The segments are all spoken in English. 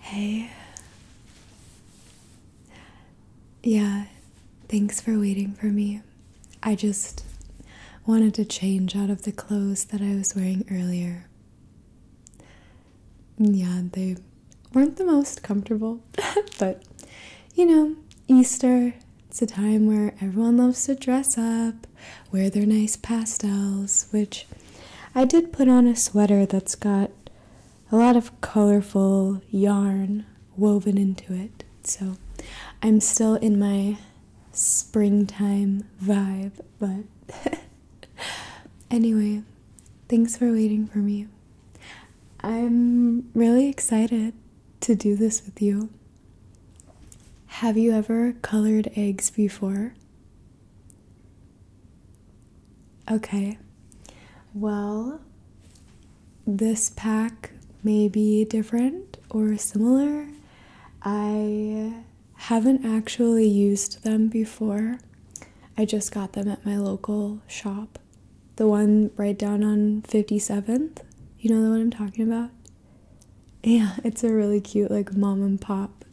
Hey. Yeah, thanks for waiting for me. I just wanted to change out of the clothes that I was wearing earlier. Yeah, they weren't the most comfortable, but you know, Easter, it's a time where everyone loves to dress up, wear their nice pastels, which I did put on a sweater that's got a lot of colorful yarn woven into it. So I'm still in my springtime vibe, but anyway, thanks for waiting for me. I'm really excited to do this with you. Have you ever colored eggs before? Okay. Well, this pack may be different or similar. I haven't actually used them before. I just got them at my local shop. The one right down on 57th. You know the one I'm talking about? Yeah, it's a really cute, like, mom and pop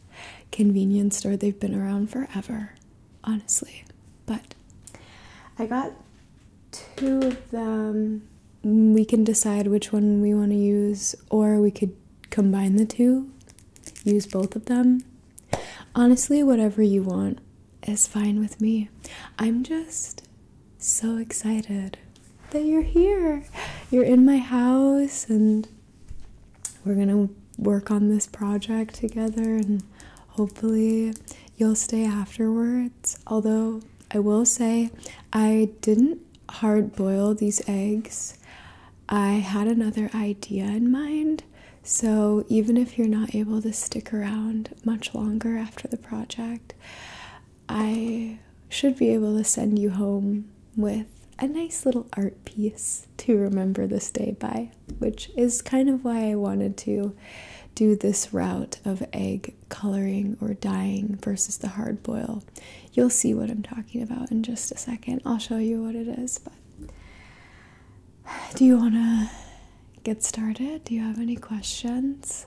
convenience store. They've been around forever, honestly. But I got two of them we can decide which one we want to use, or we could combine the two, use both of them. Honestly, whatever you want is fine with me. I'm just so excited that you're here. You're in my house, and we're gonna work on this project together, and hopefully, you'll stay afterwards. Although, I will say, I didn't hard boil these eggs, I had another idea in mind. So, even if you're not able to stick around much longer after the project, I should be able to send you home with a nice little art piece to remember this day by, which is kind of why I wanted to do this route of egg coloring or dyeing versus the hard boil. You'll see what I'm talking about in just a second. I'll show you what it is, but do you want to get started? Do you have any questions?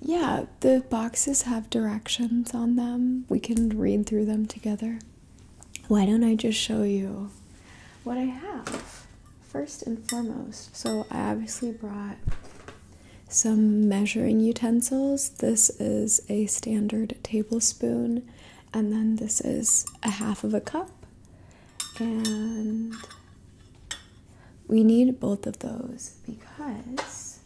Yeah, the boxes have directions on them. We can read through them together. Why don't I just show you what I have? first and foremost, so I obviously brought some measuring utensils. This is a standard tablespoon, and then this is a half of a cup. And we need both of those because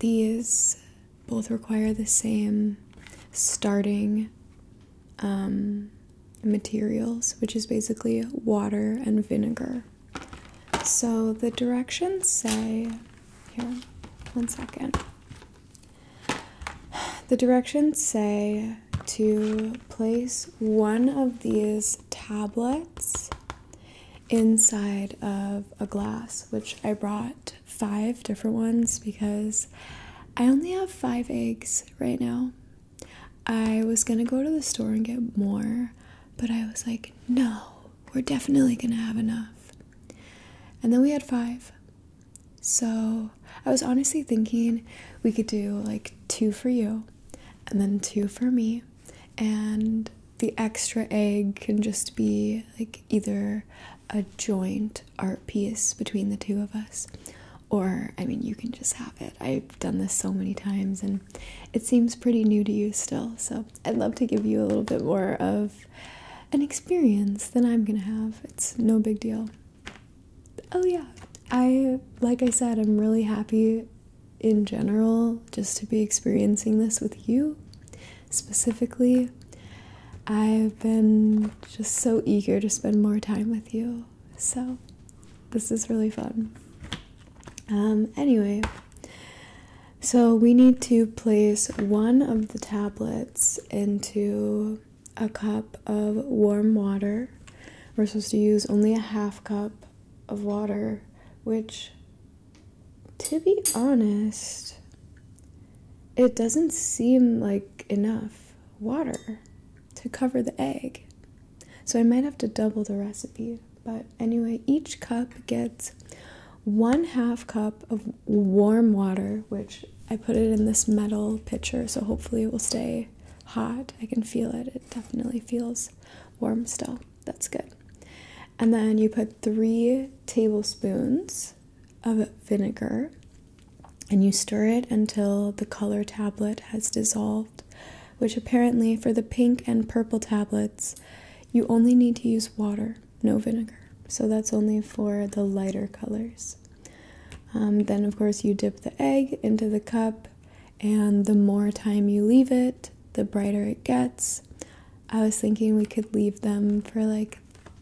these both require the same starting um, materials, which is basically water and vinegar. So the directions say, here, one second. The directions say to place one of these tablets inside of a glass, which I brought five different ones because I only have five eggs right now. I was gonna go to the store and get more, but I was like, no, we're definitely gonna have enough. And then we had five. So I was honestly thinking we could do like two for you and then two for me. And the extra egg can just be like either a joint art piece between the two of us or I mean, you can just have it. I've done this so many times and it seems pretty new to you still. So I'd love to give you a little bit more of an experience than I'm gonna have. It's no big deal. Oh, yeah. I, like I said, I'm really happy in general just to be experiencing this with you specifically. I've been just so eager to spend more time with you so this is really fun. Um, anyway, so we need to place one of the tablets into a cup of warm water. We're supposed to use only a half cup of water, which, to be honest, it doesn't seem like enough water to cover the egg. So I might have to double the recipe. But anyway, each cup gets one half cup of warm water, which I put it in this metal pitcher, so hopefully it will stay hot. I can feel it. It definitely feels warm still. That's good. And then you put three tablespoons of vinegar and you stir it until the color tablet has dissolved which apparently for the pink and purple tablets, you only need to use water, no vinegar. So that's only for the lighter colors. Um, then, of course, you dip the egg into the cup, and the more time you leave it, the brighter it gets. I was thinking we could leave them for like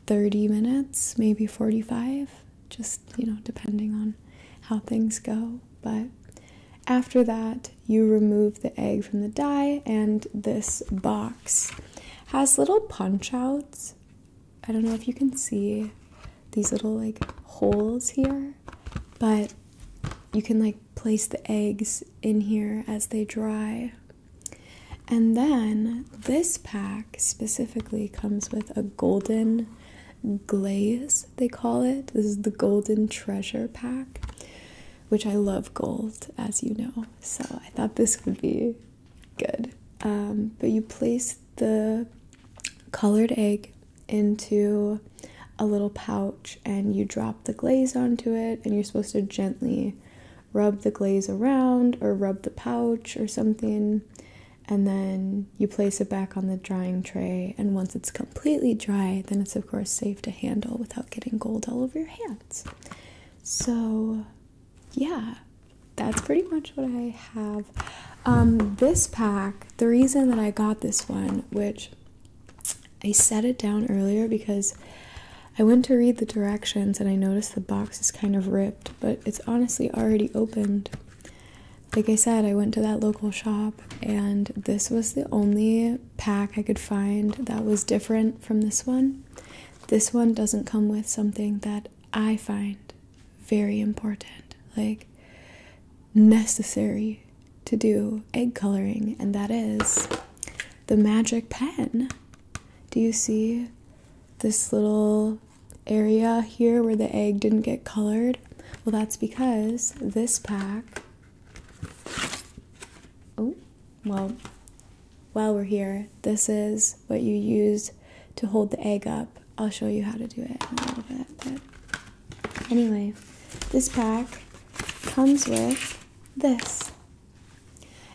30 minutes, maybe 45, just you know, depending on how things go. But after that, you remove the egg from the dye, and this box has little punch outs. I don't know if you can see these little like holes here, but you can like place the eggs in here as they dry. And then this pack specifically comes with a golden glaze they call it. This is the Golden Treasure Pack, which I love gold, as you know. So I thought this would be good. Um, but you place the colored egg into a little pouch and you drop the glaze onto it, and you're supposed to gently rub the glaze around or rub the pouch or something and then you place it back on the drying tray. And once it's completely dry, then it's of course safe to handle without getting gold all over your hands. So, yeah, that's pretty much what I have. Um, this pack, the reason that I got this one, which I set it down earlier because I went to read the directions and I noticed the box is kind of ripped, but it's honestly already opened like I said, I went to that local shop, and this was the only pack I could find that was different from this one. This one doesn't come with something that I find very important, like necessary to do egg coloring, and that is the magic pen. Do you see this little area here where the egg didn't get colored? Well, that's because this pack. Oh, well, while we're here, this is what you use to hold the egg up. I'll show you how to do it in a little bit. anyway, this pack comes with this.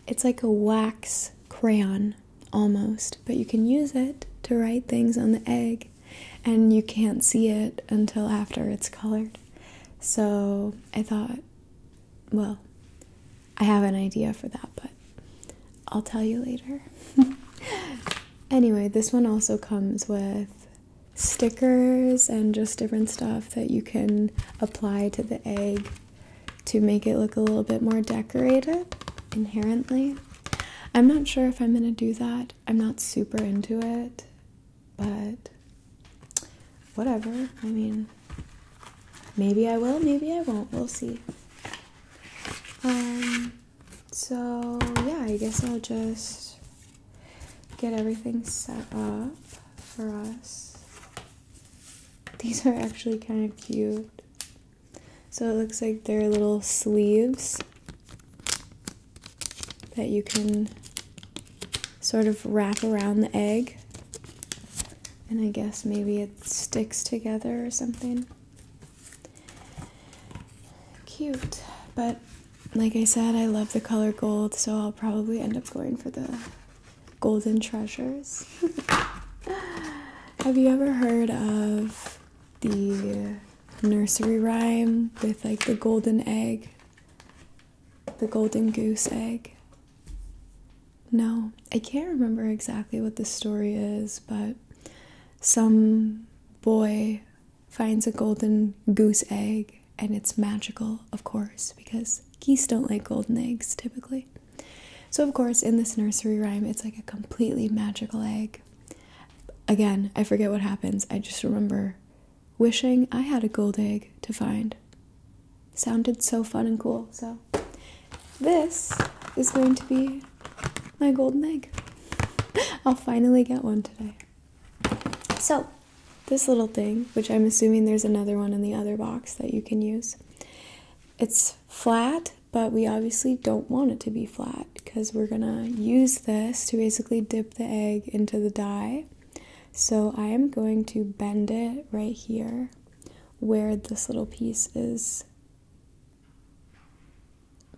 It's like a wax crayon almost, but you can use it to write things on the egg and you can't see it until after it's colored. So I thought, well, I have an idea for that, but I'll tell you later. anyway, this one also comes with stickers and just different stuff that you can apply to the egg to make it look a little bit more decorated inherently. I'm not sure if I'm going to do that I'm not super into it, but whatever. I mean, maybe I will, maybe I won't. We'll see. Um, so yeah, I guess I'll just get everything set up for us. These are actually kind of cute. So it looks like there are little sleeves that you can sort of wrap around the egg. And I guess maybe it sticks together or something. Cute. But like I said, I love the color gold, so I'll probably end up going for the golden treasures. Have you ever heard of the nursery rhyme with like the golden egg, the golden goose egg. No, I can't remember exactly what the story is, but some boy finds a golden goose egg and it's magical, of course, because geese don't like golden eggs typically. So, of course, in this nursery rhyme, it's like a completely magical egg again, I forget what happens. I just remember wishing I had a gold egg to find. Sounded so fun and cool. So this is going to be my golden egg. I'll finally get one today. So, this little thing, which I'm assuming there's another one in the other box that you can use. It's flat, but we obviously don't want it to be flat because we're gonna use this to basically dip the egg into the dye. So I am going to bend it right here where this little piece is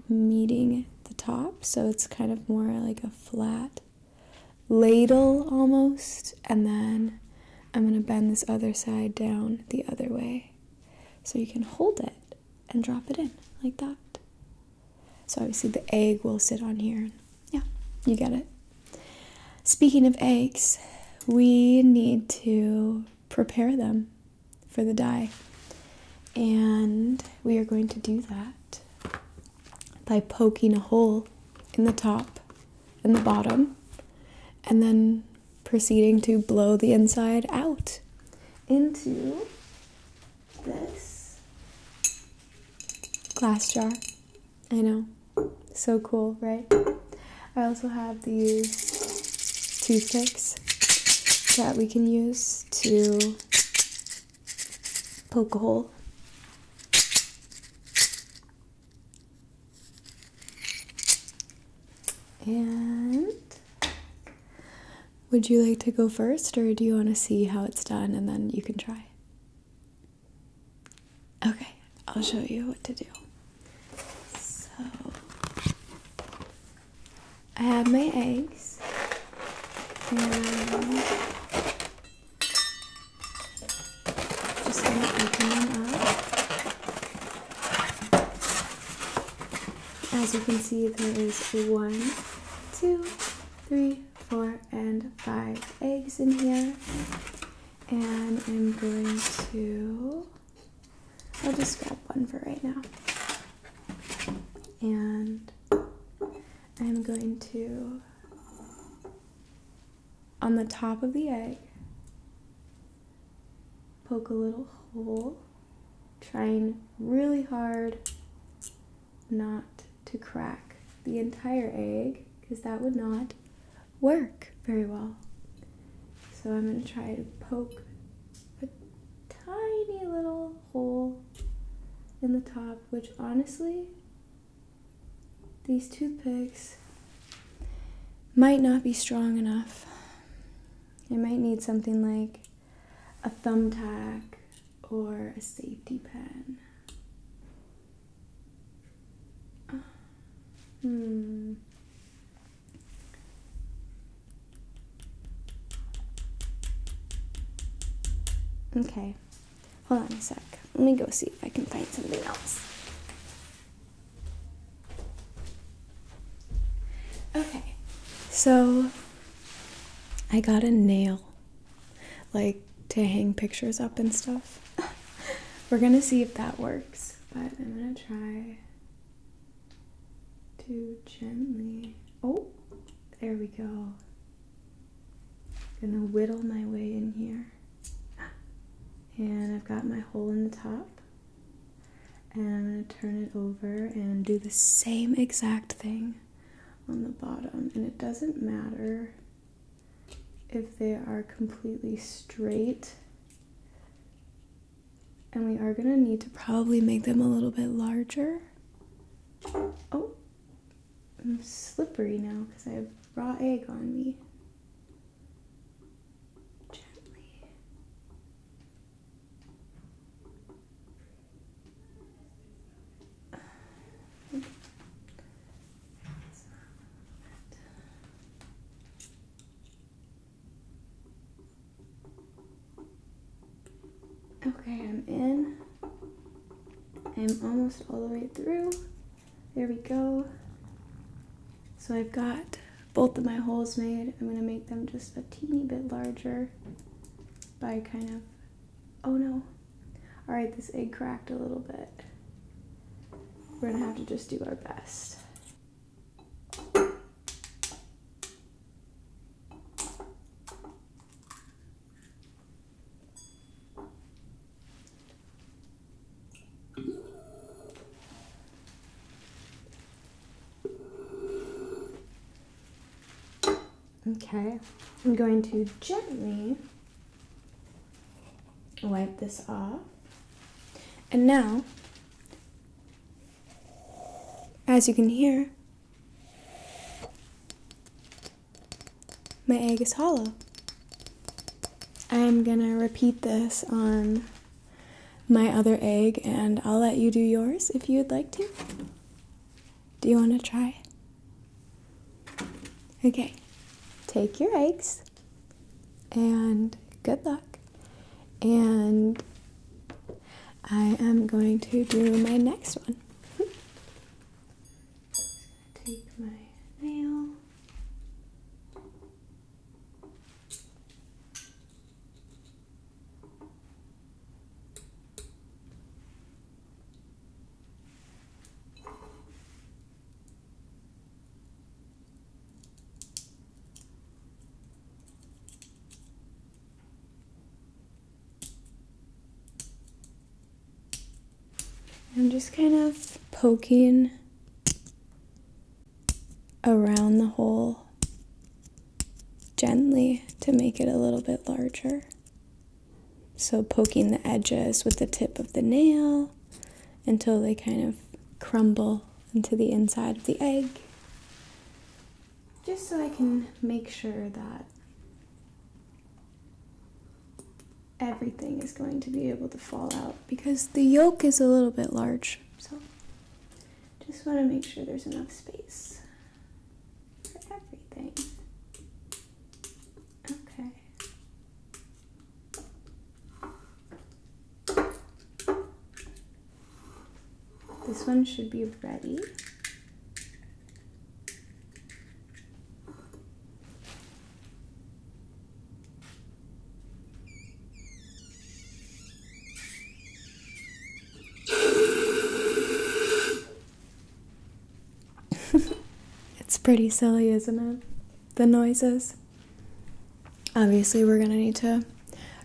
meeting the top. So it's kind of more like a flat ladle almost. And then I'm gonna bend this other side down the other way so you can hold it and drop it in like that. So obviously the egg will sit on here. Yeah, you get it. Speaking of eggs, we need to prepare them for the dye. And we are going to do that by poking a hole in the top and the bottom and then proceeding to blow the inside out into this glass jar. I know. So cool, right? I also have these toothpicks that we can use to poke a hole. And would you like to go first, or do you want to see how it's done and then you can try? Okay, I'll show you what to do. So, I have my eggs, and just gonna open them up. As you can see, there is one, two, three, four, and five eggs in here. And I'm going to, I'll just grab one for right now. And I'm going to, on the top of the egg, poke a little hole trying really hard not to crack the entire egg because that would not work very well. So I'm going to try to poke a tiny little hole in the top, which honestly, these toothpicks might not be strong enough. I might need something like a thumbtack or a safety pin. Uh, hmm. Okay, hold on a sec. Let me go see if I can find something else. Okay, so I got a nail, like to hang pictures up and stuff. We're gonna see if that works, but I'm gonna try to gently. Oh, there we go. Gonna whittle my way in here. And I've got my hole in the top and I'm going to turn it over and do the same exact thing on the bottom. And it doesn't matter if they are completely straight. And we are going to need to probably make them a little bit larger. Oh, I'm slippery now because I have raw egg on me. Gently. Okay, I'm in. I'm almost all the way through. There we go. So I've got both of my holes made. I'm gonna make them just a teeny bit larger by kind of, oh no, all right, this egg cracked a little bit. We're gonna have to just do our best. Okay, I'm going to gently wipe this off. And now, as you can hear, my egg is hollow. I am gonna repeat this on my other egg and I'll let you do yours if you'd like to. Do you want to try? Okay, take your eggs and good luck. And I am going to do my next one. Take my nail. I'm just kind of poking around the hole gently to make it a little bit larger. So poking the edges with the tip of the nail until they kind of crumble into the inside of the egg. Just so I can make sure that everything is going to be able to fall out because the yolk is a little bit large. So just want to make sure there's enough space for everything. Okay. This one should be ready. it's pretty silly, isn't it? The noises. Obviously, we're gonna need to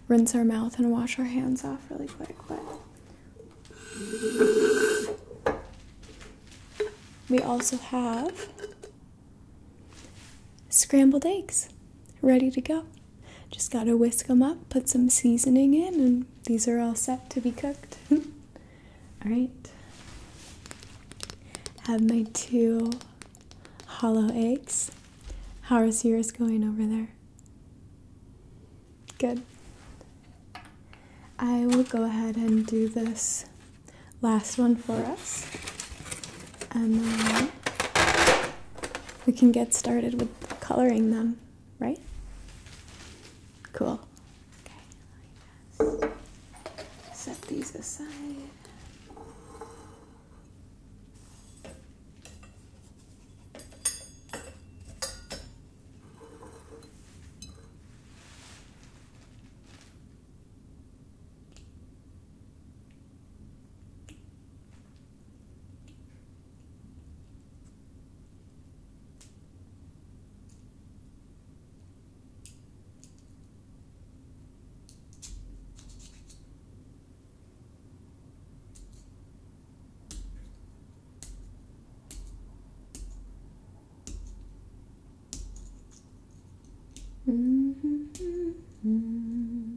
rinse our mouth and wash our hands off really quick, but we also have scrambled eggs ready to go. Just gotta whisk them up, put some seasoning in, and these are all set to be cooked. Alright. Have my two hollow eggs. How are yours going over there? Good. I will go ahead and do this last one for us. And then we can get started with coloring them right? Cool. Okay, set these aside. Mm -hmm, -hmm.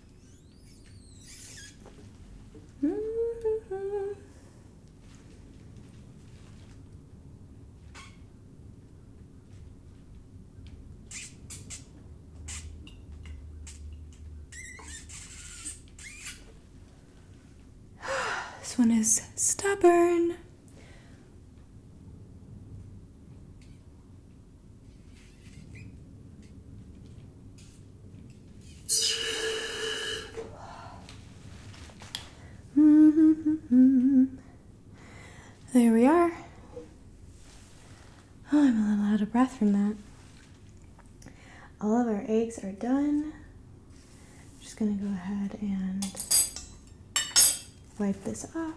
this one is stubborn. Mm-hmm. There we are. Oh, I'm a little out of breath from that. All of our eggs are done. I'm just gonna go ahead and wipe this off.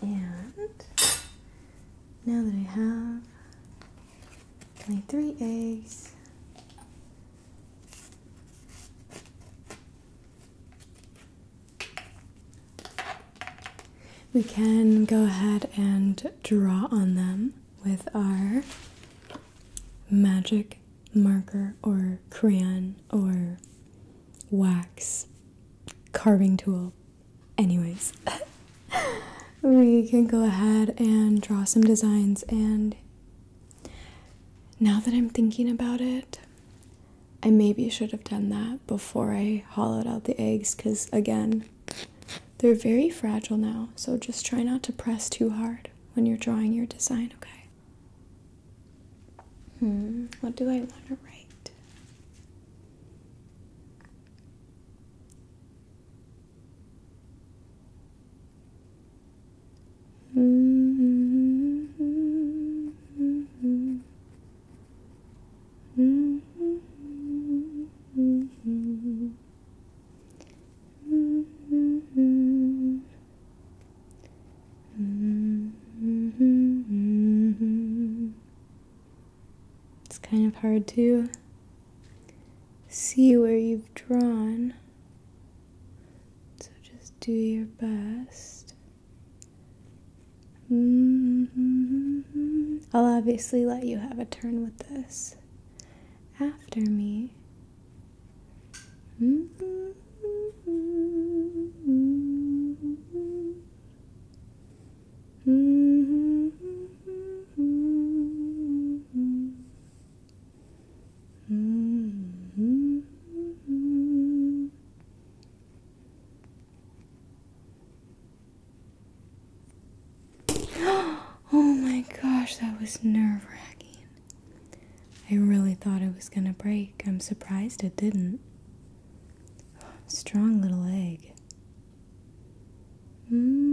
And now that I have my three eggs, we can go ahead and draw on them with our magic marker or crayon or wax carving tool. Anyways, we can go ahead and draw some designs. And now that I'm thinking about it, I maybe should have done that before I hollowed out the eggs because, again, they're very fragile now. So just try not to press too hard when you're drawing your design, okay? Hmm, what do I want to write? Mm -hmm. Mm -hmm. Mm -hmm. Mm -hmm. Mm-hmm. It's kind of hard to see where you've drawn. So just do your best. Mm-hmm. I'll obviously let you have a turn with this after me. Mm-hmm. oh my gosh, that was nerve wracking. I really thought it was gonna break. I'm surprised it didn't. Strong little egg. Mm-hmm.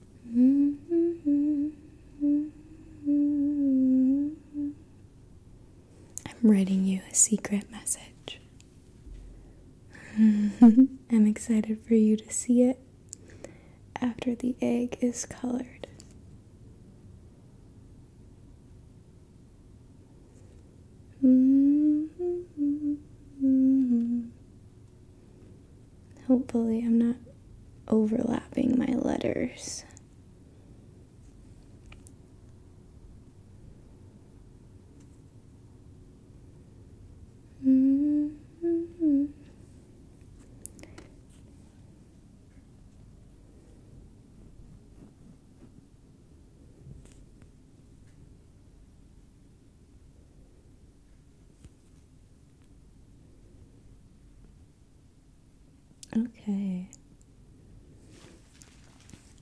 I'm writing you a secret message. I'm excited for you to see it after the egg is colored. Hopefully, I'm not overlapping my letters. Okay.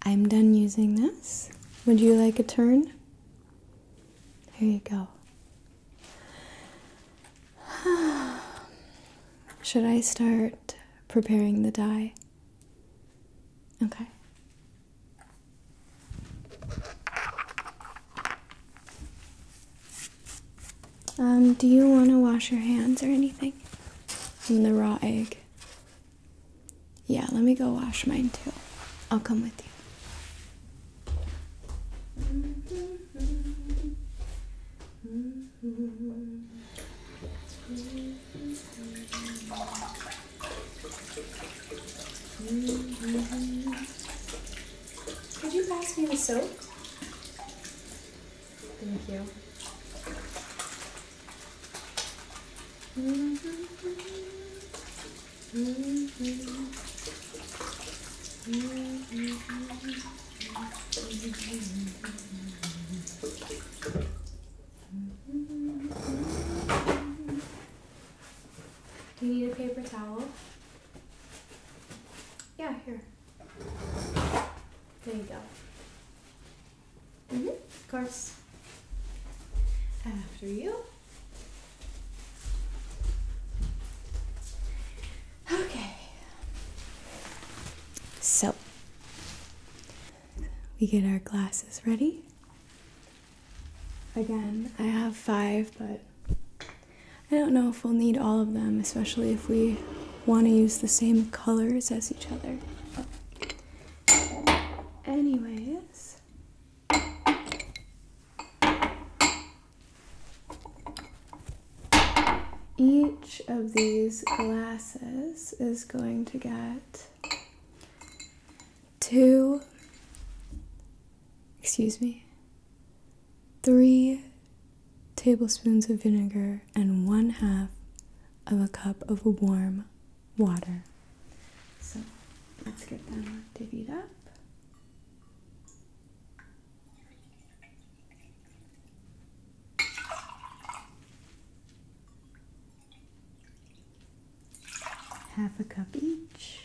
I'm done using this. Would you like a turn? Here you go. Should I start preparing the dye? Okay. Um, do you want to wash your hands or anything from the raw egg? Yeah, let me go wash mine too. I'll come with you. Could you pass me the soap? Thank you. Do you need a paper towel? Yeah, here. There you go. Mm -hmm, of course. After you. Okay. So, we get our glasses ready. Again, I have five, but I don't know if we'll need all of them, especially if we want to use the same colors as each other. anyways. Each of these glasses is going to get two, excuse me, three tablespoons of vinegar, and one half of a cup of warm water. So let's get them divvied up. Half a cup each.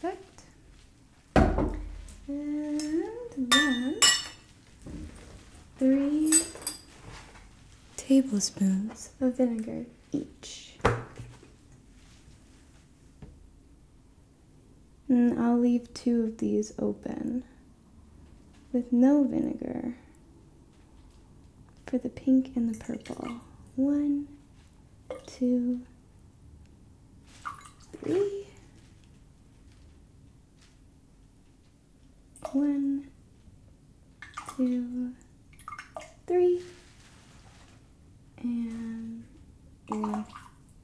Perfect. And then three tablespoons of vinegar each. Mm, I'll leave two of these open with no vinegar for the pink and the purple. One, two, three. One, two, three. And one,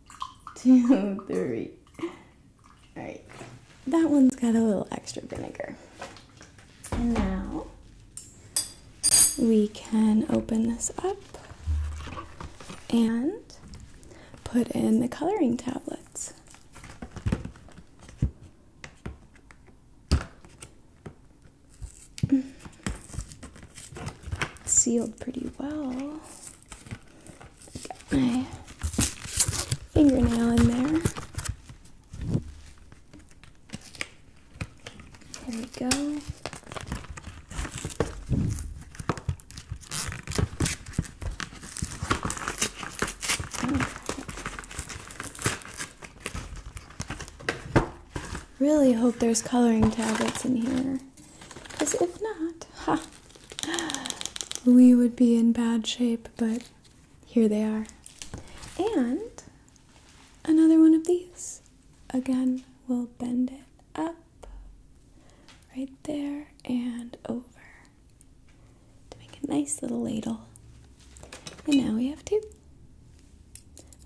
two, three. All right, that one's got a little extra vinegar. And now we can open this up and put in the coloring tablets. Mm. Sealed pretty well. Get my fingernail in there. There we go. really hope there's coloring tablets in here. Because if not, ha, we would be in bad shape, but here they are. And another one of these. Again, we'll bend it up right there and over to make a nice little ladle. And now we have two.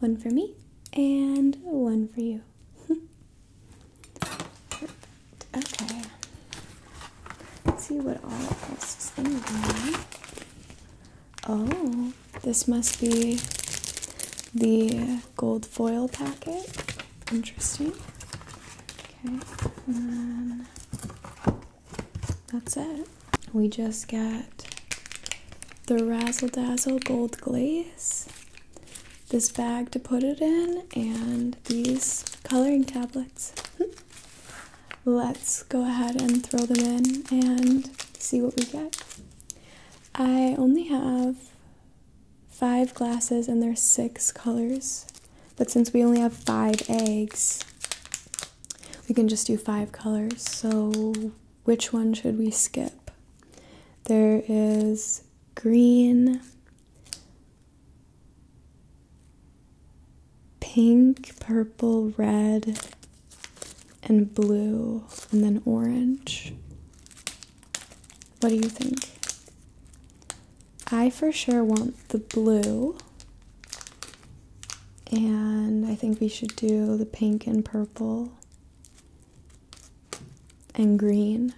One for me and one for you. Okay. Let's see what all else is in here. Oh, this must be the gold foil packet. Interesting. Okay, um, that's it. We just got the Razzle Dazzle Gold Glaze, this bag to put it in and these coloring tablets. Let's go ahead and throw them in and see what we get. I only have five glasses and there's six colors, but since we only have five eggs, we can just do five colors. So, which one should we skip? There is green, pink, purple, red, and blue, and then orange. What do you think? I for sure want the blue. And I think we should do the pink and purple and green.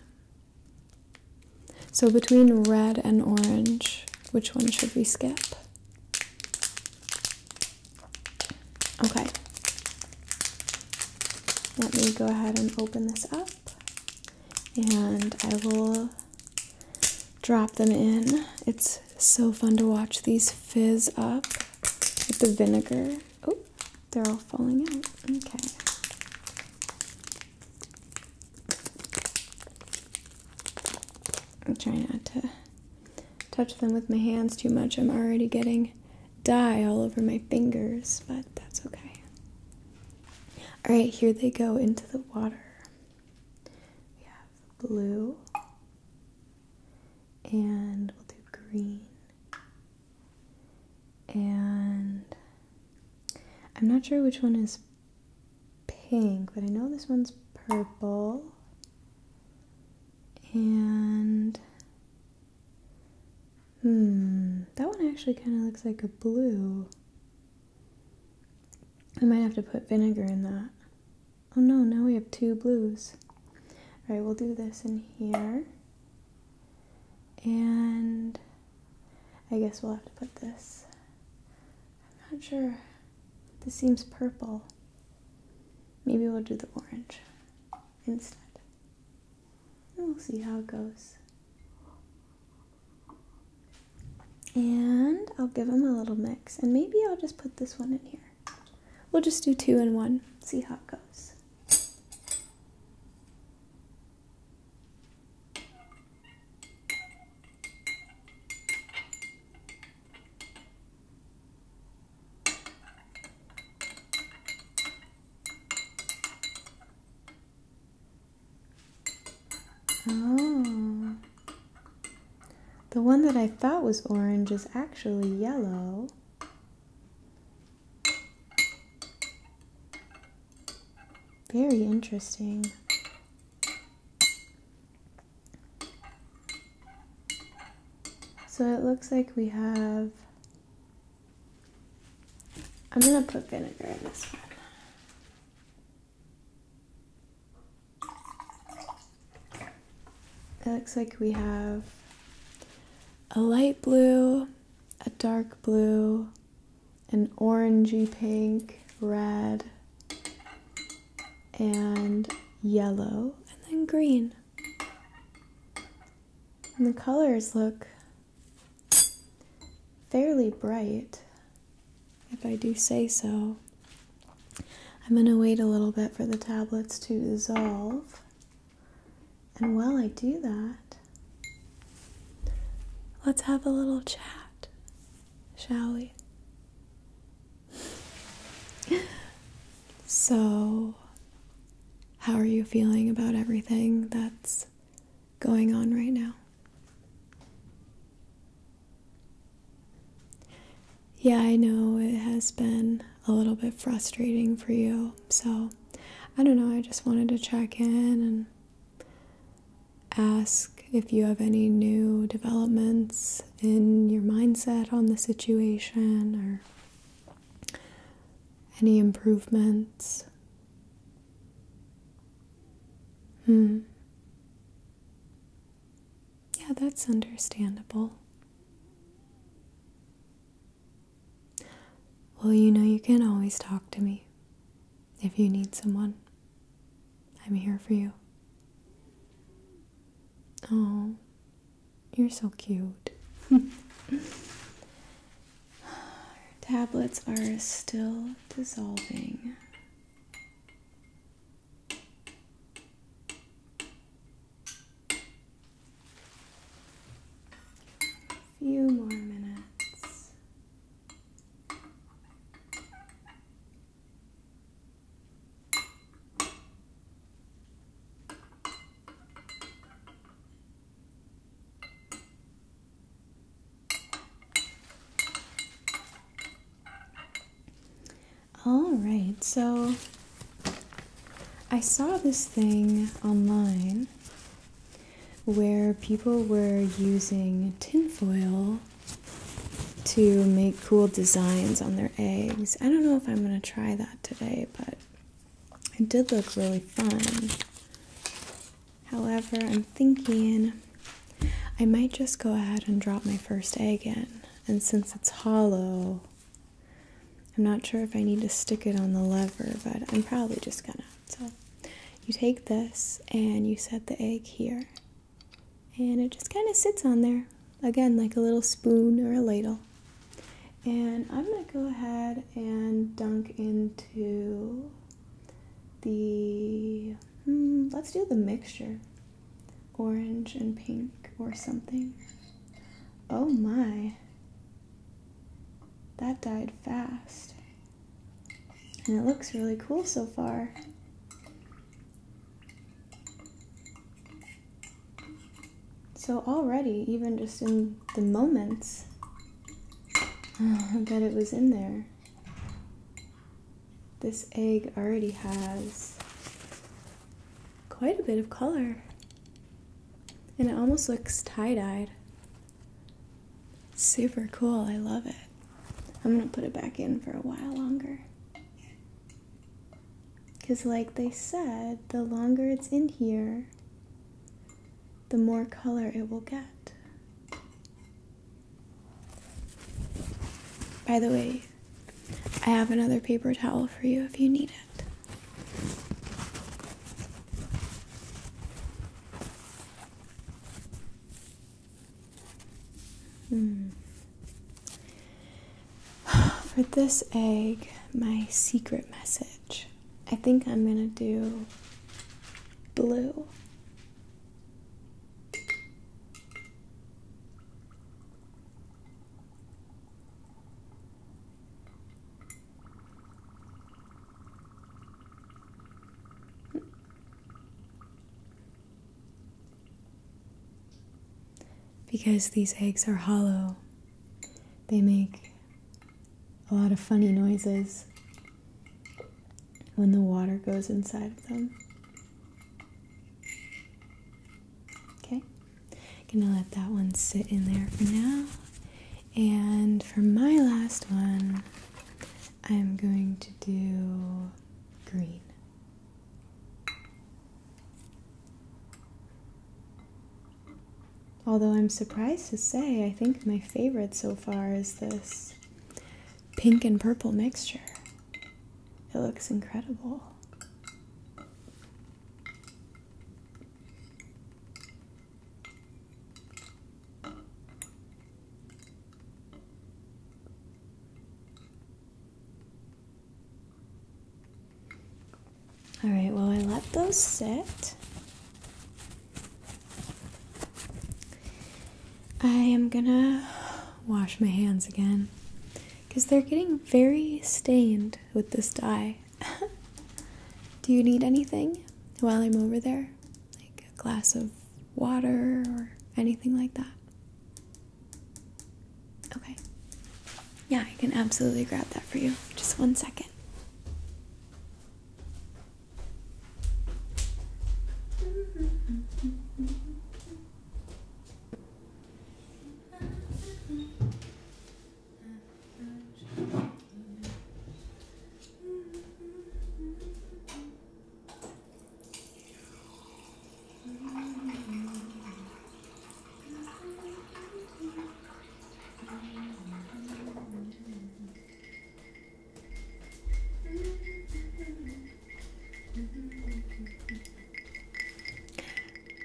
So between red and orange, which one should we skip? Okay. Let me go ahead and open this up and I will drop them in. It's so fun to watch these fizz up with the vinegar. Oh, they're all falling out. Okay. I'm trying not to touch them with my hands too much. I'm already getting dye all over my fingers, but that's okay. All right, here they go into the water. We have blue, and we'll do green, and I'm not sure which one is pink, but I know this one's purple. And hmm, that one actually kind of looks like a blue. I might have to put vinegar in that. Oh no, now we have two blues. All right, we'll do this in here. And I guess we'll have to put this. I'm not sure. This seems purple. Maybe we'll do the orange instead. we'll see how it goes. And I'll give them a little mix. And maybe I'll just put this one in here. We'll just do two and one, see how it goes. Oh. The one that I thought was orange is actually yellow. Very interesting. So it looks like we have, I'm gonna put vinegar in this one. It looks like we have a light blue, a dark blue, an orangey pink, red, and yellow, and then green. And the colors look fairly bright, if I do say so. I'm going to wait a little bit for the tablets to dissolve. And while I do that, Let's have a little chat, shall we? So, how are you feeling about everything that's going on right now? Yeah, I know it has been a little bit frustrating for you. So, I don't know, I just wanted to check in and ask if you have any new developments in your mindset on the situation or any improvements. Hmm. Yeah, that's understandable. Well, you know, you can always talk to me. If you need someone, I'm here for you. Oh, you're so cute. Our tablets are still dissolving. A few more minutes. All right, so I saw this thing online where people were using tinfoil to make cool designs on their eggs. I don't know if I'm going to try that today, but it did look really fun. However, I'm thinking I might just go ahead and drop my first egg in. And since it's hollow, I'm not sure if I need to stick it on the lever, but I'm probably just gonna. So you take this and you set the egg here, and it just kind of sits on there again, like a little spoon or a ladle. And I'm gonna go ahead and dunk into the hmm, let's do the mixture orange and pink or something. Oh my, that died fast. And it looks really cool so far. So already, even just in the moments oh, that it was in there, this egg already has quite a bit of color. And it almost looks tie-dyed. Super cool. I love it. I'm going to put it back in for a while longer. Because, like they said, the longer it's in here, the more color it will get. By the way, I have another paper towel for you if you need it. Hmm. For this egg, my secret message. I think I'm gonna do blue. Because these eggs are hollow, they make a lot of funny noises when the water goes inside of them. Okay, gonna let that one sit in there for now. And for my last one, I'm going to do green. Although I'm surprised to say, I think my favorite so far is this pink and purple mixture. It looks incredible. All right, well, I let those sit. I am gonna wash my hands again because they're getting very stained with this dye. Do you need anything while I'm over there? like a glass of water or anything like that. Okay. Yeah, I can absolutely grab that for you. Just one second.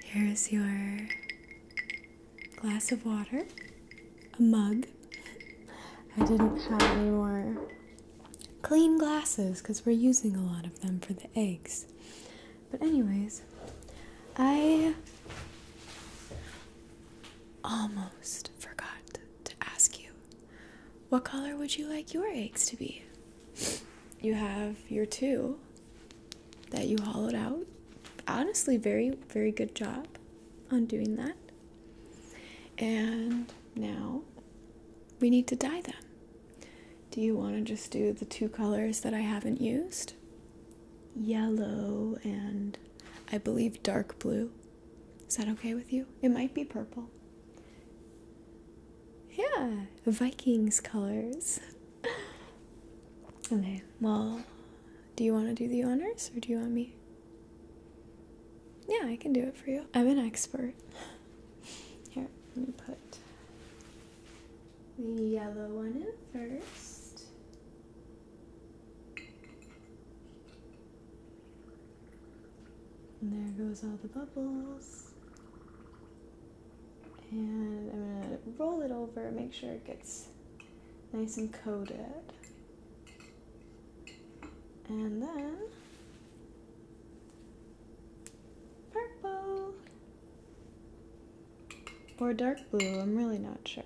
Here's your glass of water a mug. I didn't have any more clean glasses because we're using a lot of them for the eggs. But, anyways, I almost forgot to ask you what color would you like your eggs to be? You have your two that you hollowed out. Honestly, very, very good job on doing that. And now we need to dye them. Do you want to just do the two colors that I haven't used? Yellow and I believe dark blue. Is that okay with you? It might be purple. Yeah, Vikings colors. okay, well, do you want to do the honors or do you want me? Yeah, I can do it for you. I'm an expert. Here, let me put the yellow one in first. And there goes all the bubbles. And I'm gonna roll it over, make sure it gets nice and coated. And then purple or dark blue, I'm really not sure.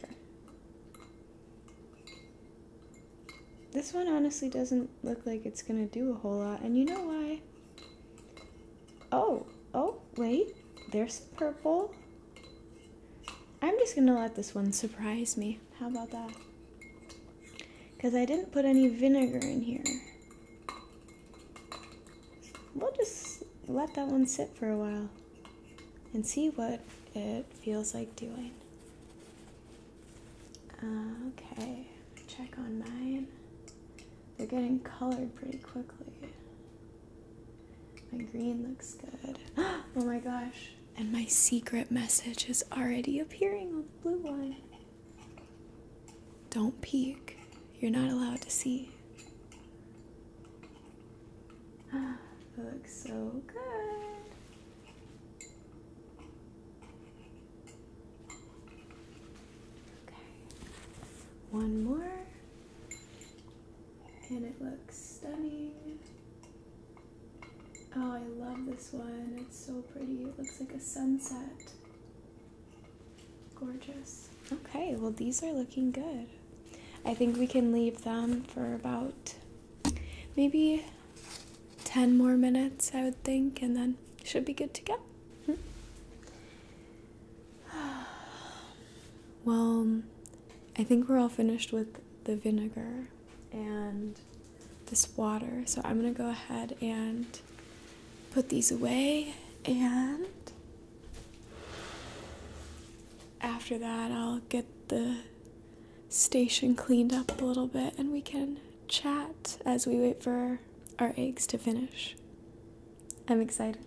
This one honestly doesn't look like it's gonna do a whole lot, and you know why? Oh, oh, wait, there's some purple. I'm just gonna let this one surprise me. How about that? Because I didn't put any vinegar in here. We'll just let that one sit for a while and see what it feels like doing. okay, check on mine. They're getting colored pretty quickly. My green looks good. Oh my gosh, and my secret message is already appearing on the blue one. Don't peek. You're not allowed to see. Ah, looks so good. Okay. One more. And it looks stunning. Oh, I love this one. It's so pretty. It looks like a sunset. Gorgeous. Okay, well, these are looking good. I think we can leave them for about maybe 10 more minutes, I would think, and then should be good to go. Hmm. well, I think we're all finished with the vinegar and this water. So I'm going to go ahead and put these away and after that I'll get the station cleaned up a little bit and we can chat as we wait for our eggs to finish. I'm excited.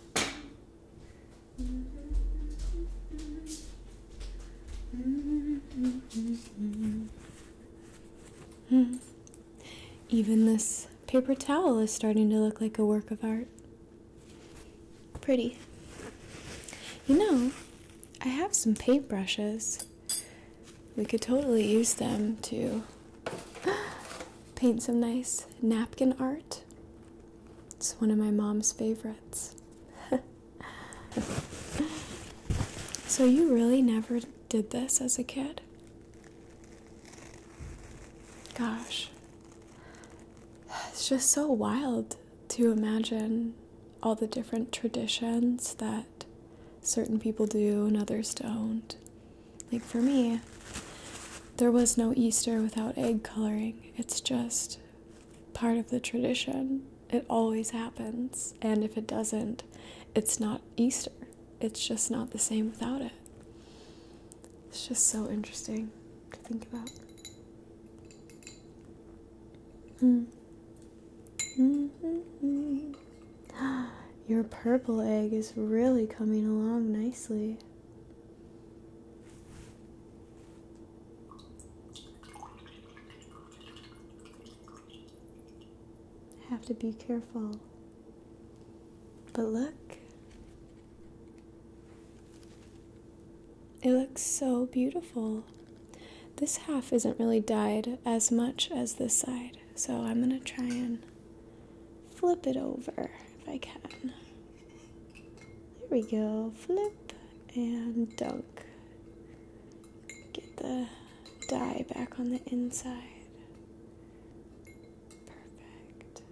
Even this paper towel is starting to look like a work of art. Pretty. You know, I have some paintbrushes. We could totally use them too paint some nice napkin art. It's one of my mom's favorites. so, you really never did this as a kid? Gosh, it's just so wild to imagine all the different traditions that certain people do and others don't. Like for me, there was no Easter without egg coloring. It's just part of the tradition. It always happens. And if it doesn't, it's not Easter. It's just not the same without it. It's just so interesting to think about. Mm. Mm -hmm. Your purple egg is really coming along nicely. Have to be careful. But look, it looks so beautiful. This half isn't really dyed as much as this side, so I'm gonna try and flip it over if I can. There we go. Flip and dunk. Get the die back on the inside. Perfect.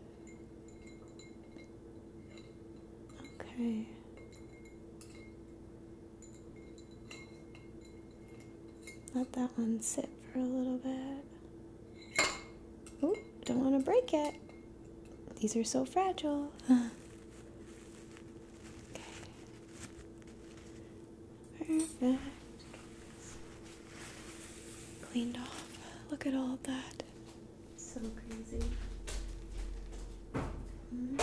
Okay. Let that one sit for a little bit. Oh, don't want to break it. These are so fragile. okay. Perfect. Cleaned off. Look at all that. So crazy.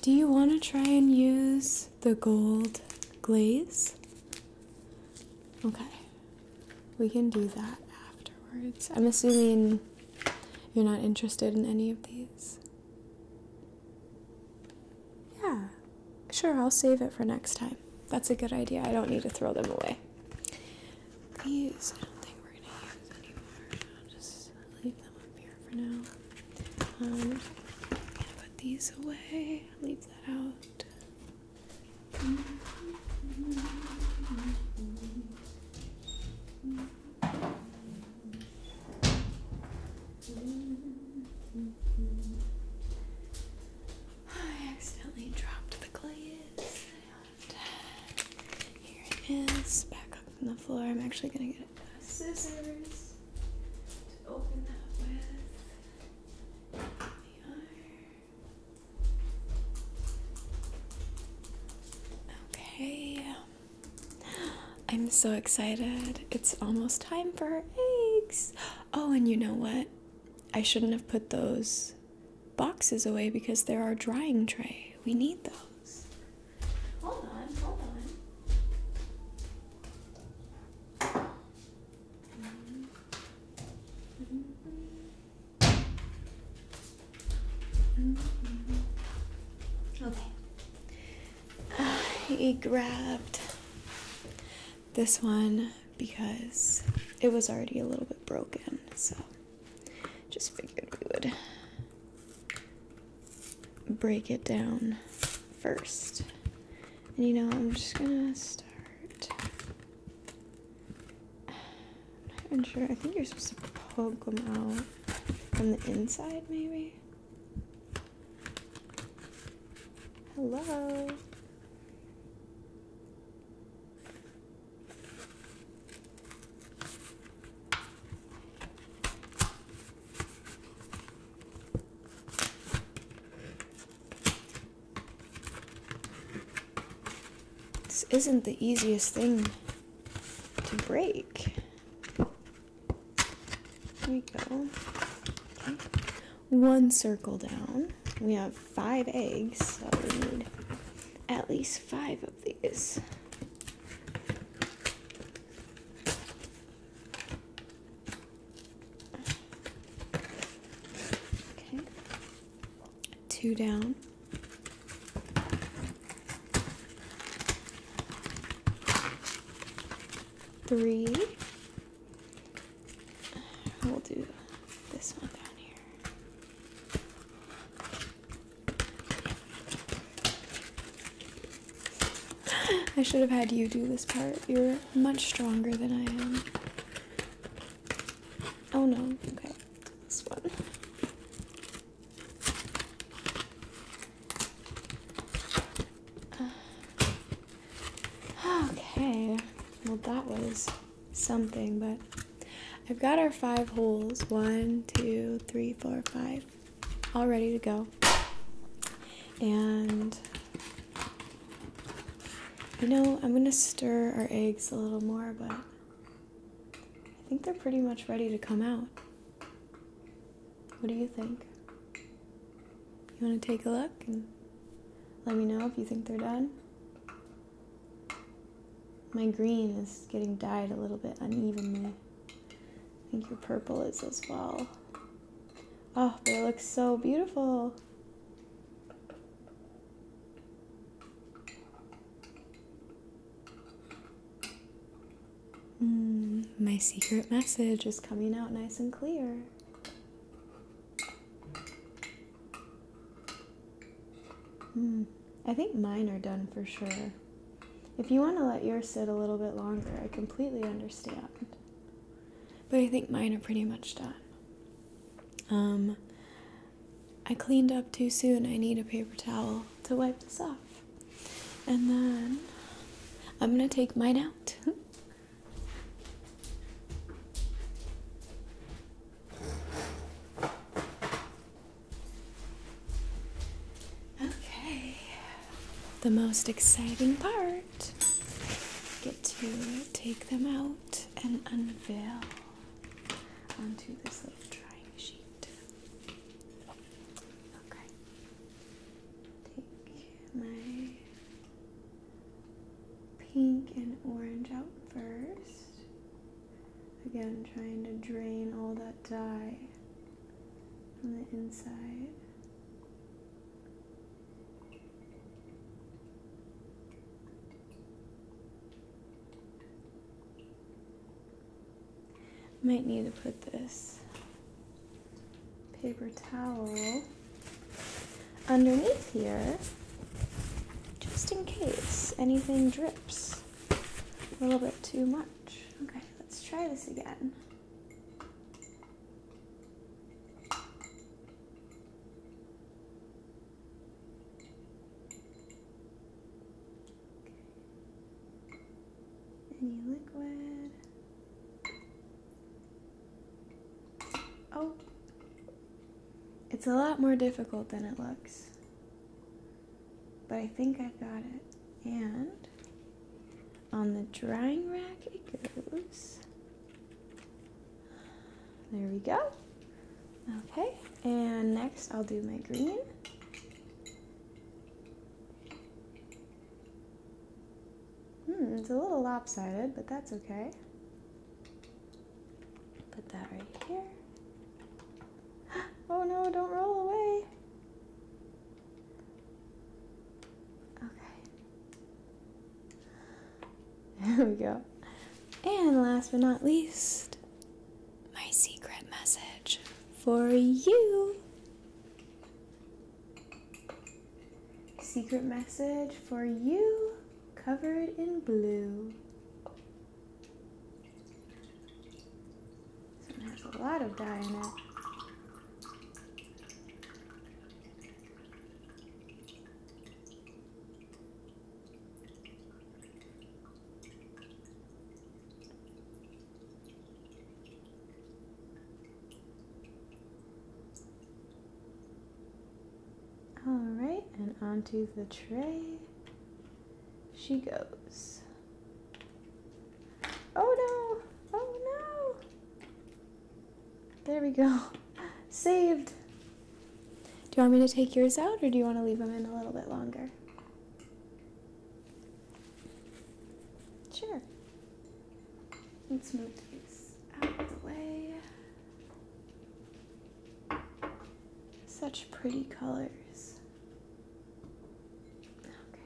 Do you want to try and use the gold glaze? Okay, we can do that afterwards. I'm assuming you're not interested in any of these. Yeah, Sure, I'll save it for next time. That's a good idea. I don't need to throw them away. These, I don't think we're going to use anymore. I'll just leave them up here for now. Um, put these away, leave that out. I accidentally dropped the glaze. And here it is, back up from the floor. I'm actually gonna get scissors to open that with. The iron. Okay. I'm so excited. It's almost time for our eggs. Oh, and you know what? I shouldn't have put those boxes away because they're our drying tray. We need those. Hold on, hold on. Mm-hmm. Mm-hmm. Mm-hmm. Okay. Uh, he grabbed this one because it was already a little bit broken, so just figured we would break it down first. And you know, I'm just gonna start. I'm not sure. I think you're supposed to poke them out from the inside, maybe. Hello. This isn't the easiest thing to break. There we go one circle down. We have five eggs, so we need at least five of these. Okay, two down. Three, We'll do this one down here. I should have had you do this part. You're much stronger than I am. Oh no, okay. This one. Okay, well, that was something, but I've got our five holes one, two, three, four, five all ready to go. And you know, I'm gonna stir our eggs a little more, but I think they're pretty much ready to come out. What do you think? You want to take a look and let me know if you think they're done? My green is getting dyed a little bit unevenly. I think your purple is as well. Oh, they look so beautiful. Mm, my secret message is coming out nice and clear. Hmm. I think mine are done for sure. If you want to let yours sit a little bit longer, I completely understand. But I think mine are pretty much done. Um, I cleaned up too soon. I need a paper towel to wipe this off. And then I'm going to take mine out. Okay, the most exciting part. Get to take them out and unveil onto this little drying sheet. Okay. Take my pink and orange out first. Again, trying to drain all that dye from the inside. Might need to put this paper towel underneath here just in case anything drips a little bit too much. Okay, let's try this again. Any liquid. Oh. It's a lot more difficult than it looks. But I think I got it. And on the drying rack it goes. There we go. Okay, and next I'll do my green. Hmm, it's a little lopsided, but that's okay. Put that right here. Oh no, don't roll away. Okay. There we go. And last but not least, my secret message for you. Secret message for you, covered in blue. This one has a lot of dye in it. All right, and onto the tray she goes. Oh no! Oh no! There we go. Saved! Do you want me to take yours out or do you want to leave them in a little bit longer? Sure. Let's move these out of the way. Such pretty colors. Okay.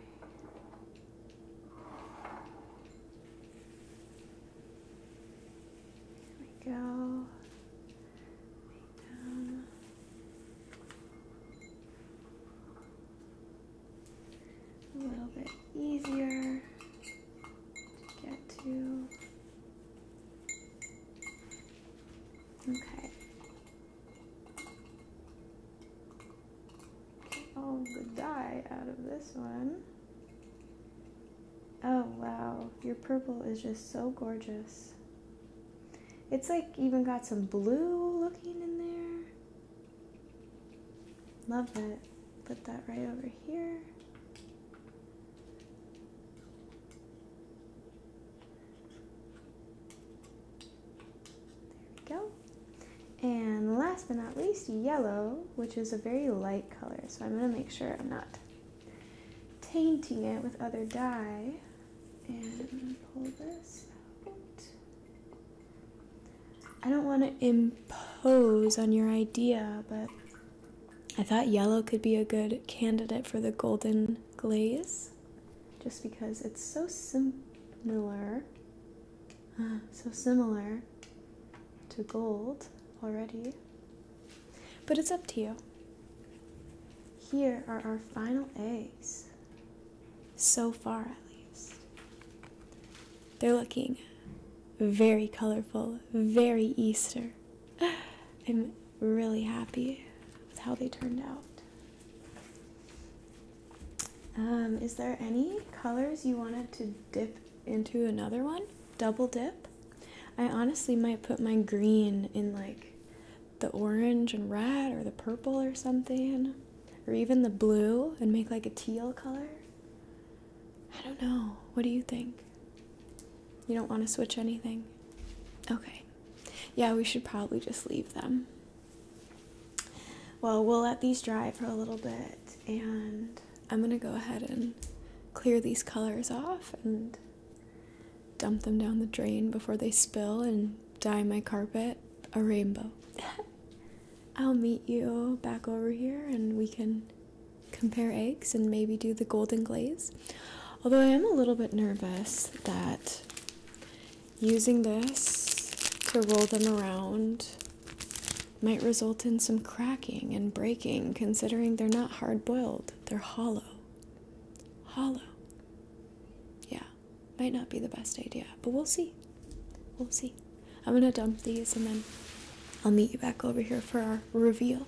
Here we go. Down. A little bit easier to get to. Okay. All the dye out of this one. Oh wow, your purple is just so gorgeous. It's like even got some blue looking in there. Love it. Put that right over here. There we go. And last but not least, yellow, which is a very light color. So I'm gonna make sure I'm not tainting it with other dye. And pull this out. I don't want to impose on your idea, but I thought yellow could be a good candidate for the golden glaze just because it's so similar uh, so similar to gold already. But it's up to you. Here are our final eggs. So far, at least. They're looking very colorful, very Easter. I'm really happy with how they turned out. Um, is there any colors you wanted to dip into another one? Double dip? I honestly might put my green in like the orange and red or the purple or something, or even the blue and make like a teal color. I don't know. What do you think? You don't want to switch anything? Okay. Yeah, we should probably just leave them. Well, we'll let these dry for a little bit, and I'm going to go ahead and clear these colors off and dump them down the drain before they spill and dye my carpet a rainbow. I'll meet you back over here and we can compare eggs and maybe do the golden glaze. Although I am a little bit nervous that using this to roll them around might result in some cracking and breaking, considering they're not hard boiled, they're hollow. Hollow. Yeah, might not be the best idea, but we'll see. We'll see. I'm gonna dump these and then I'll meet you back over here for our reveal.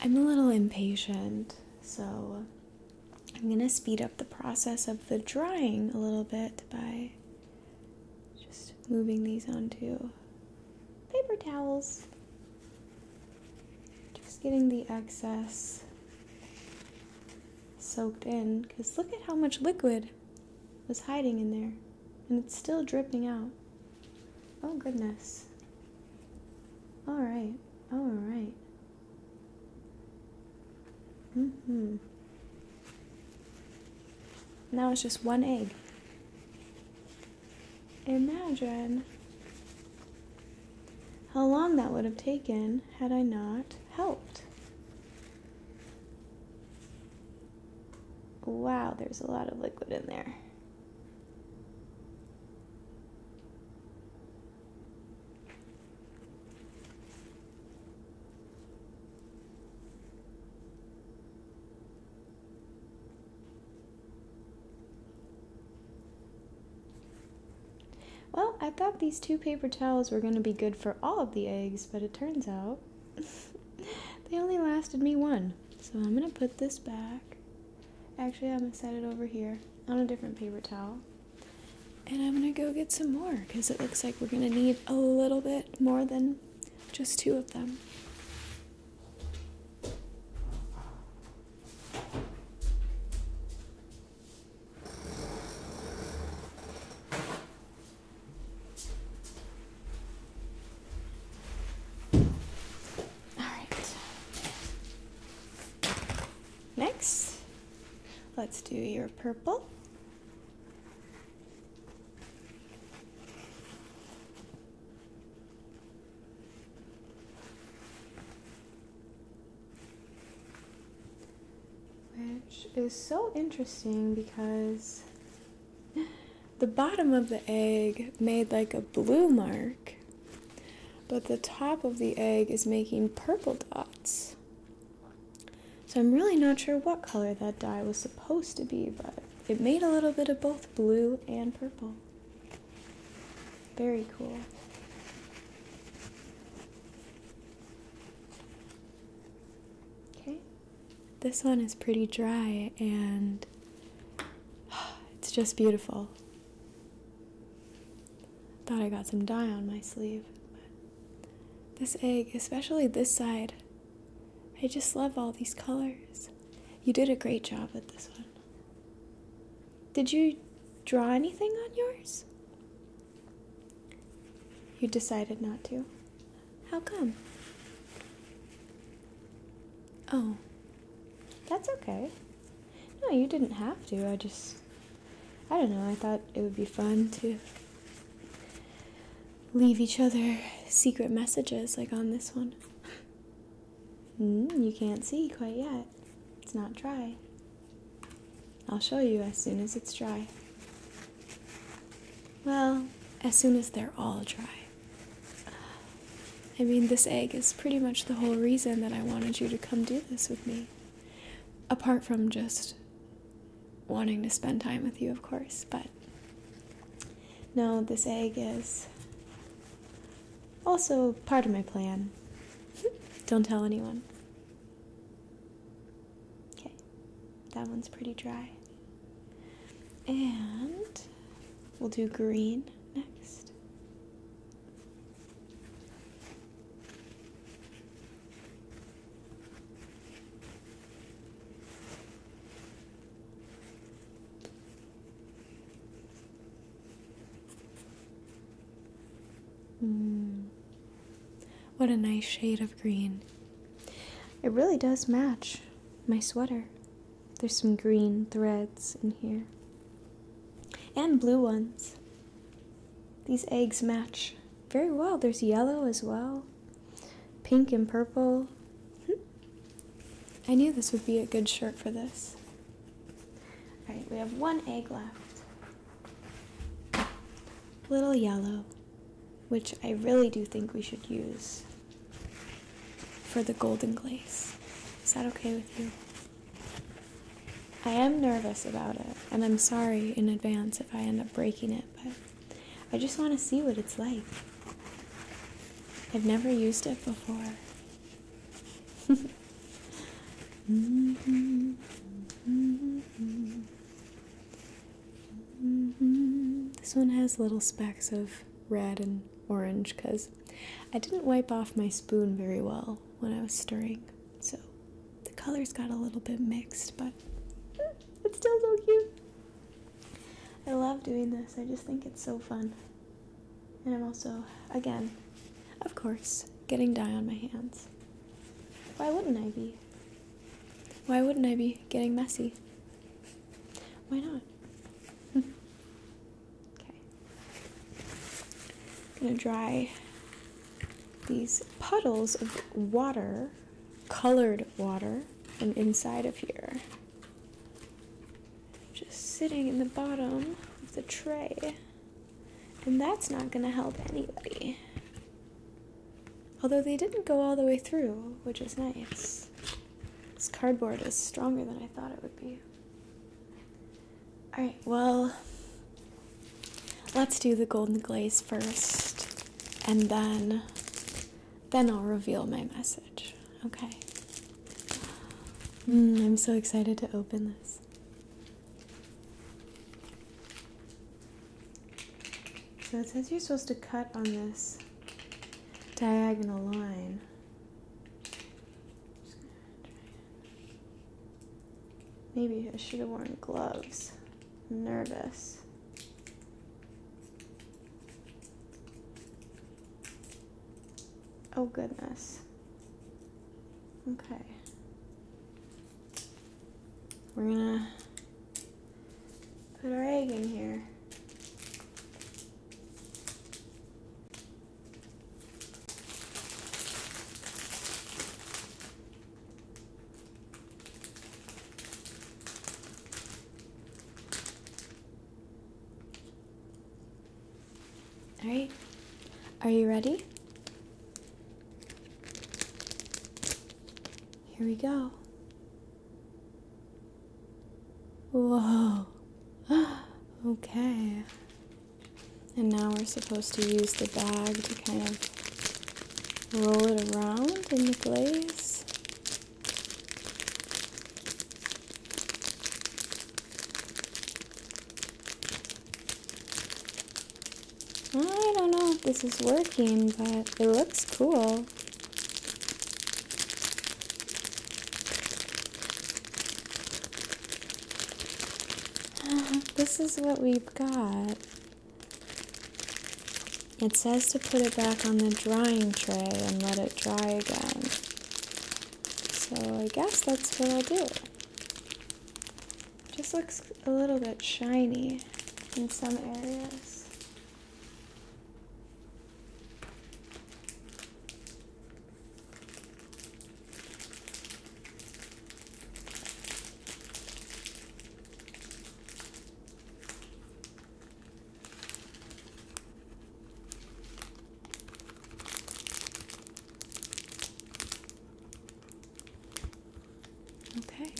I'm a little impatient, so I'm going to speed up the process of the drying a little bit by just moving these onto paper towels. Just getting the excess soaked in because look at how much liquid was hiding in there and it's still dripping out. Oh goodness. All right, all right. Mm hmm. Now it's just one egg. Imagine how long that would have taken had I not helped. Wow, there's a lot of liquid in there. Well, I thought these two paper towels were going to be good for all of the eggs, but it turns out they only lasted me one. So I'm going to put this back. Actually, I'm gonna set it over here on a different paper towel. And I'm gonna go get some more because it looks like we're gonna need a little bit more than just two of them. All right. Next, let's do your purple. Which is so interesting because the bottom of the egg made like a blue mark, but the top of the egg is making purple dots. So I'm really not sure what color that dye was supposed to be, but it made a little bit of both blue and purple. Very cool. Okay, this one is pretty dry and It's just beautiful. Thought I got some dye on my sleeve. But this egg, especially this side, I just love all these colors. You did a great job with this one. Did you draw anything on yours? You decided not to. How come? Oh, that's okay. No, you didn't have to. I just, I don't know, I thought it would be fun to leave each other secret messages like on this one. Hmm, you can't see quite yet. It's not dry. I'll show you as soon as it's dry. Well, as soon as they're all dry. I mean, this egg is pretty much the whole reason that I wanted you to come do this with me. Apart from just wanting to spend time with you, of course, but no, this egg is also part of my plan. Don't tell anyone. Okay, that one's pretty dry. And We'll do green next. Mm. What a nice shade of green. It really does match my sweater. There's some green threads in here. And blue ones. These eggs match very well. There's yellow as well, pink and purple. I knew this would be a good shirt for this. All right, we have one egg left. Little yellow, which I really do think we should use for the golden glaze. Is that okay with you? I am nervous about it, and I'm sorry in advance if I end up breaking it, but I just want to see what it's like. I've never used it before. This one has little specks of red and orange because I didn't wipe off my spoon very well when I was stirring, so the colors got a little bit mixed, but it's still so cute. I love doing this, I just think it's so fun. And I'm also, again, of course, getting dye on my hands. Why wouldn't I be? Why wouldn't I be getting messy? Why not? Okay. I'm going to dry these puddles of water, colored water, from inside of here. Just sitting in the bottom of the tray. And that's not going to help anybody. Although they didn't go all the way through, which is nice. This cardboard is stronger than I thought it would be. Alright, well, let's do the golden glaze first, and then, then I'll reveal my message. Okay. Hmm, I'm so excited to open this. So it says you're supposed to cut on this diagonal line. Maybe I should have worn gloves. I'm nervous. Oh goodness. Okay. We're gonna put our egg in here. All right, are you ready? Here we go. Whoa. okay. And now we're supposed to use the bag to kind of roll it around in the glaze. I don't know if this is working, but it looks cool. Uh, this is what we've got. It says to put it back on the drying tray and let it dry again. So I guess that's what I'll do. Just looks a little bit shiny in some areas. Okay.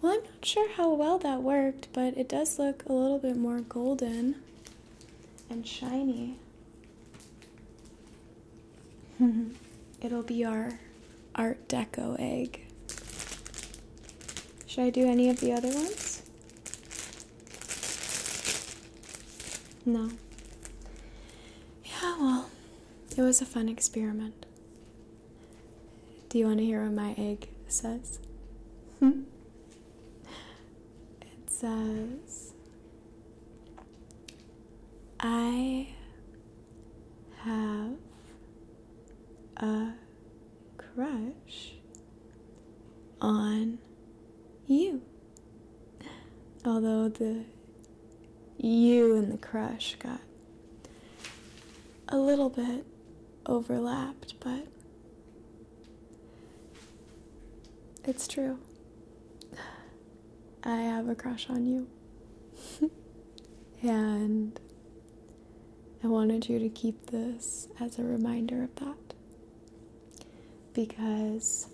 Well, I'm not sure how well that worked, but it does look a little bit more golden and shiny. It'll be our Art Deco egg. Should I do any of the other ones? No. Yeah, well, it was a fun experiment. Do you want to hear what my egg says? Hmm? It says, I have a crush on you. Although the you and the crush got a little bit overlapped, but it's true. I have a crush on you. and I wanted you to keep this as a reminder of that. Because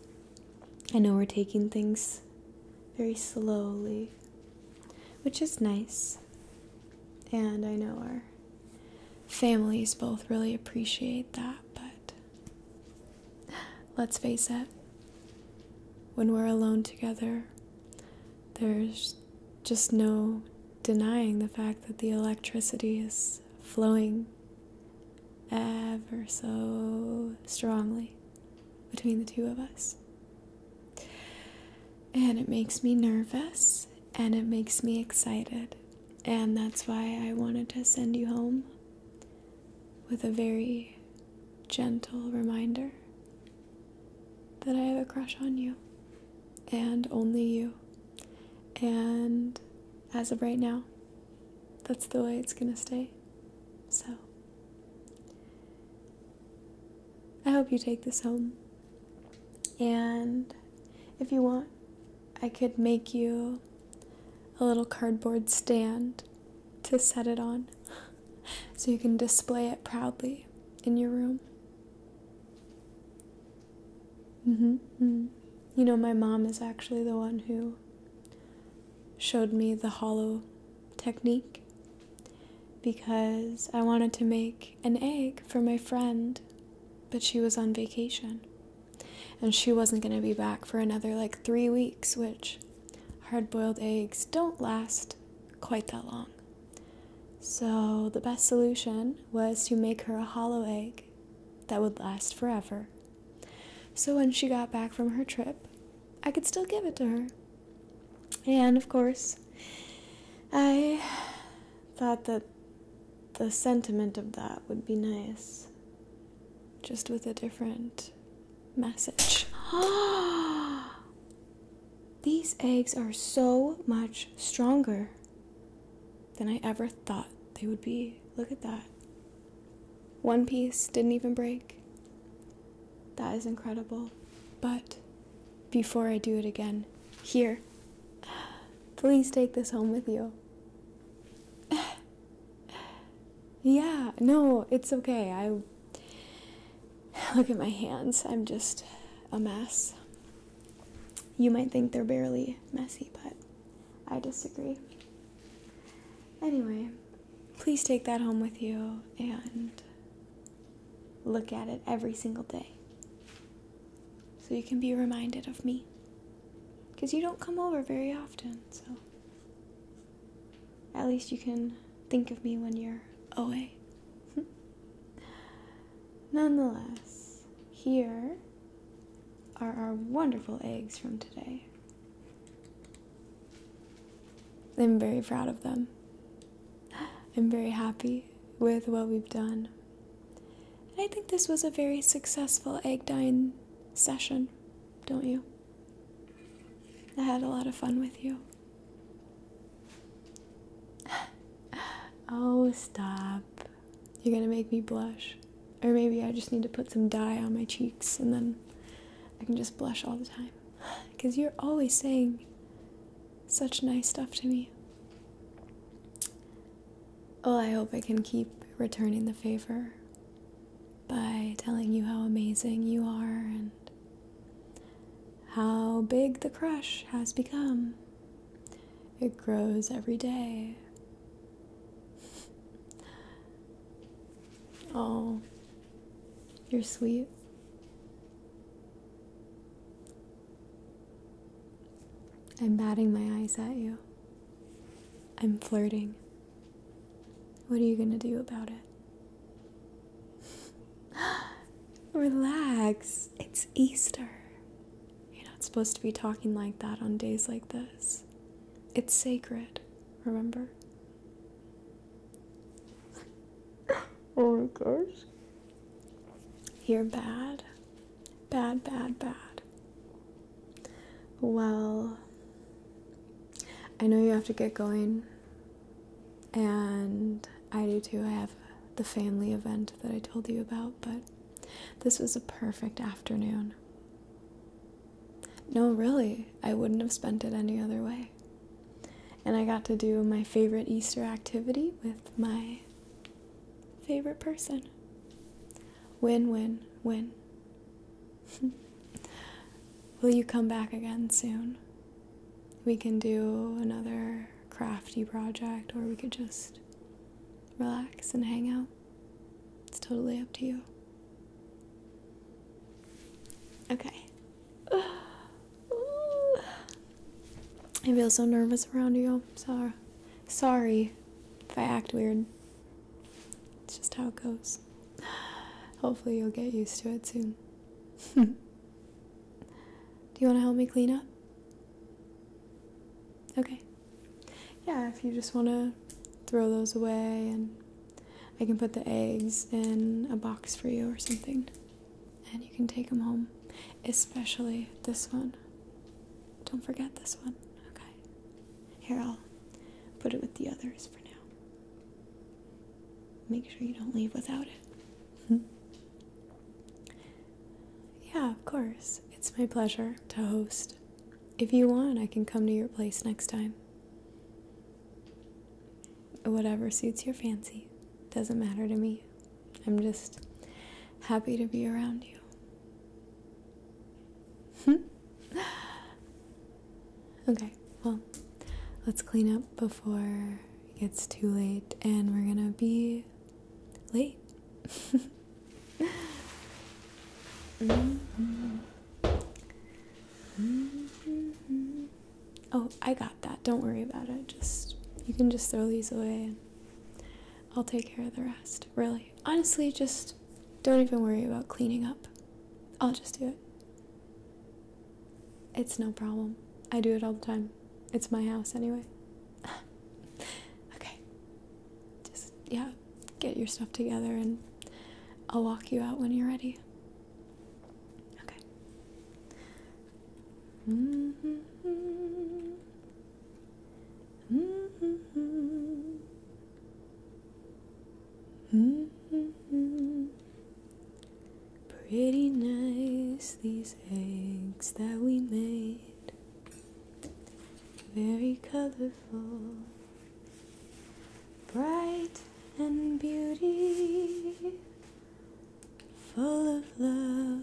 I know we're taking things very slowly, which is nice. And I know we're families both really appreciate that, but let's face it, when we're alone together, there's just no denying the fact that the electricity is flowing ever so strongly between the two of us. And it makes me nervous and it makes me excited. And that's why I wanted to send you home with a very gentle reminder that I have a crush on you and only you. And as of right now, that's the way it's gonna stay. So, I hope you take this home and if you want, I could make you a little cardboard stand to set it on so you can display it proudly in your room. Mm-hmm, mm-hmm. You know, my mom is actually the one who showed me the hollow technique because I wanted to make an egg for my friend, but she was on vacation. And she wasn't going to be back for another like three weeks, which hard boiled eggs don't last quite that long. So the best solution was to make her a hollow egg that would last forever. So when she got back from her trip, I could still give it to her. And of course, I thought that the sentiment of that would be nice, just with a different message. These eggs are so much stronger than I ever thought they would be. Look at that. One piece didn't even break. That is incredible. But before I do it again, here Please take this home with you. yeah, no, it's okay. I look at my hands. I'm just a mess. You might think they're barely messy, but I disagree. Anyway, please take that home with you and look at it every single day so you can be reminded of me. Because you don't come over very often, so at least you can think of me when you're away. Nonetheless, here are our wonderful eggs from today. I'm very proud of them. I'm very happy with what we've done I think this was a very successful egg dyeing session, don't you? I had a lot of fun with you. oh, stop. You're gonna make me blush. Or maybe I just need to put some dye on my cheeks and then I can just blush all the time. Because you're always saying such nice stuff to me. Oh, I hope I can keep returning the favor by telling you how amazing you are and how big the crush has become. It grows every day. Oh, you're sweet. I'm batting my eyes at you. I'm flirting. What are you going to do about it? Relax. It's Easter. You're not supposed to be talking like that on days like this. It's sacred, remember? oh my gosh. You're bad. Bad, bad, bad. Well, I know you have to get going, and I do too. I have the family event that I told you about, but this was a perfect afternoon. No, really, I wouldn't have spent it any other way. And I got to do my favorite Easter activity with my favorite person. Win, win, win. Will you come back again soon? We can do another crafty project or we could just relax and hang out. It's totally up to you. Okay. I feel so nervous around you. Sorry. Sorry if I act weird. It's just how it goes. Hopefully, you'll get used to it soon. Do you want to help me clean up? Okay. Yeah, if you just want to throw those away, and I can put the eggs in a box for you or something, and you can take them home especially this one. Don't forget this one, okay? Here, I'll put it with the others for now. Make sure you don't leave without it. Hmm? Yeah, of course. It's my pleasure to host. If you want, I can come to your place next time. Whatever suits your fancy. Doesn't matter to me. I'm just happy to be around you. okay, well, let's clean up before it gets too late, and we're gonna be late. Mm-hmm. Mm-hmm. Oh, I got that. Don't worry about it. Just you can just throw these away. I'll take care of the rest. Really. Honestly, just don't even worry about cleaning up. I'll just do it. It's no problem. I do it all the time. It's my house anyway. okay. Just, yeah, get your stuff together and I'll walk you out when you're ready. Okay. Mm-hmm. Mm-hmm. Pretty nice, these eggs that we made. Very colorful, bright and beauty, full of love.